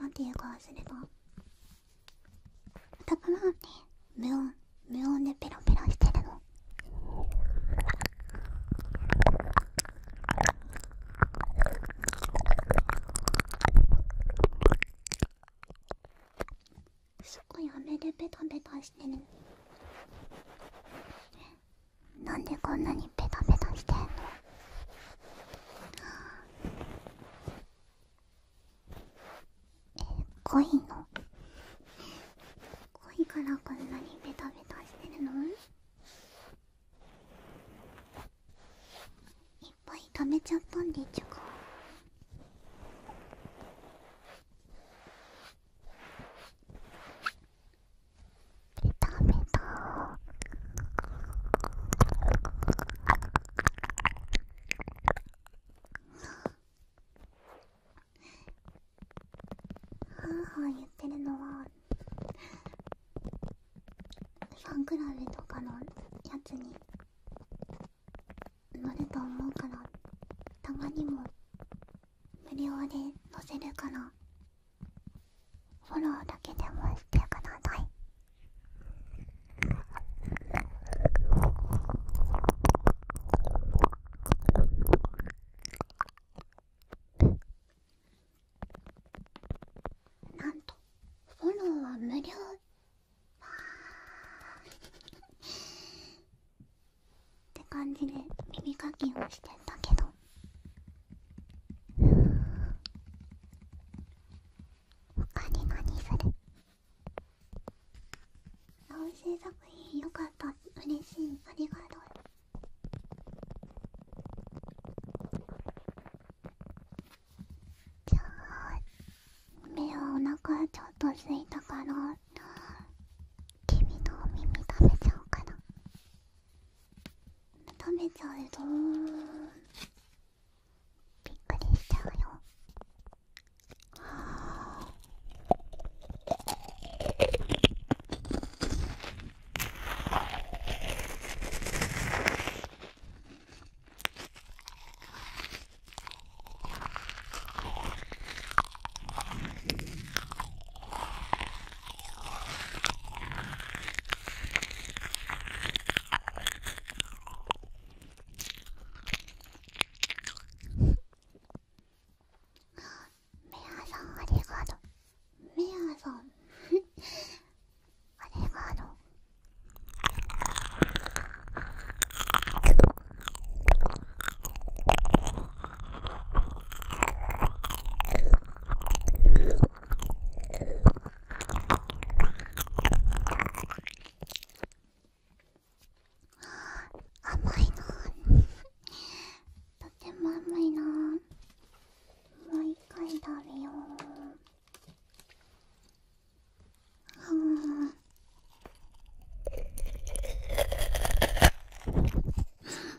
なんていうかすれば…だからね無音無音でペロペロしてるのすごい雨でペタペタしてるなんでこんなにペタペタしてんのえ恋の恋からこんなにベタベタしてるのいっぱい食めちゃったんでちゅかベタベタはーはー言ってるのはファンクラブとかのやつに乗ると思うからたまにも無料で乗せるからフォローだけでもしてください。なんとフォローは無料って感じで耳かきをしてんだけどう他に何するおいしい作品よかった嬉しいありがとうじゃあ目はお腹ちょっとすいたから君のお耳食べちゃおうかな。食べちゃうぞびっくりしちゃうよはあアさんありがとうメアさんありがとう甘いなとても甘いなもう一回食べよううん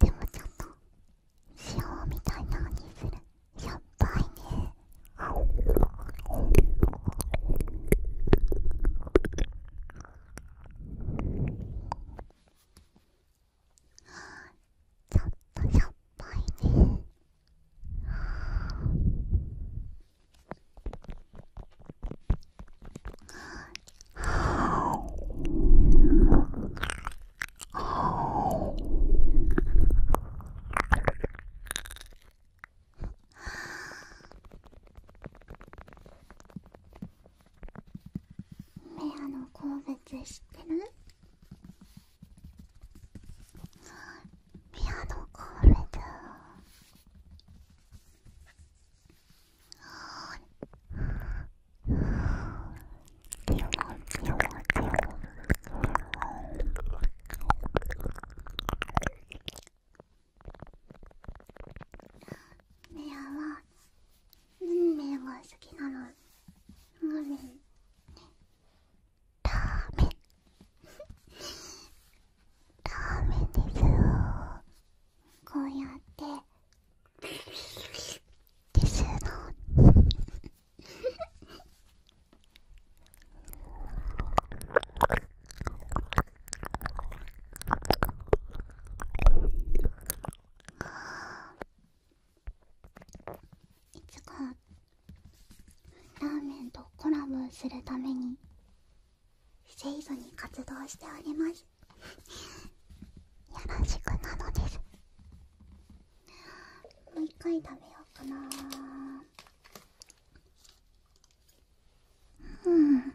でもちょっと塩みたいなにするしょっぱいねちょっとしょっぱいねメアの好物知ってるピアノコールだメアは運命が好きなの運命ラーメンラーメですよこうやってですのいつかラーメンとコラボするために清楚に活動しておりますよろしくなのですもう一回食べようかなうん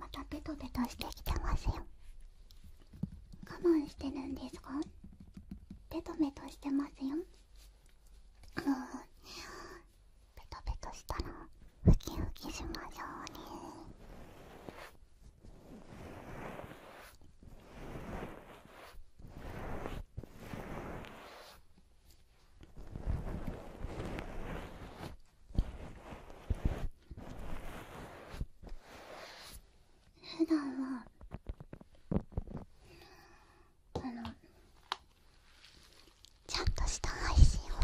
またベトベトしてきてますよ我慢してるんですかベトベトしてますようんベトベトしたらウキウキしましょうね普段はこのちゃんとした配信を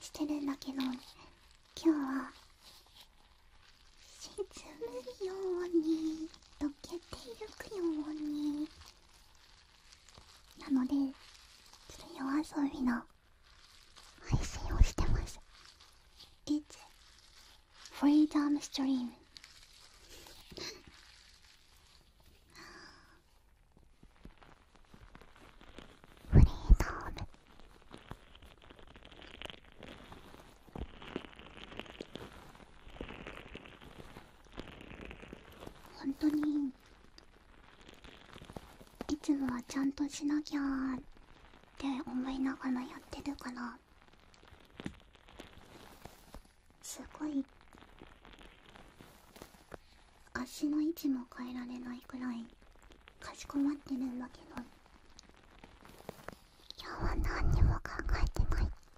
してるんだけど今日は沈むように溶けてゆくようになのでちょっと夜遊びの配信をしてます It's Freedom Stream フリーダーム本当にいつもはちゃんとしなきゃって思いながらやってるからすごい足の位置も変えられないくらいかしこまってるんだけど今日は何にも考えてない。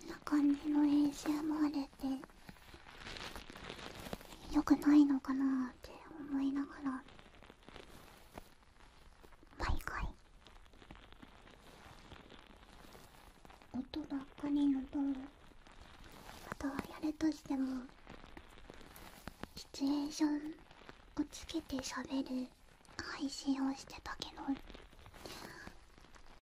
こんな感じの練習もあれてよくないのかなって思いながら毎回音ばっかりのとあとはやるとしてもシチュエーションをつけて喋る配信をしてたけど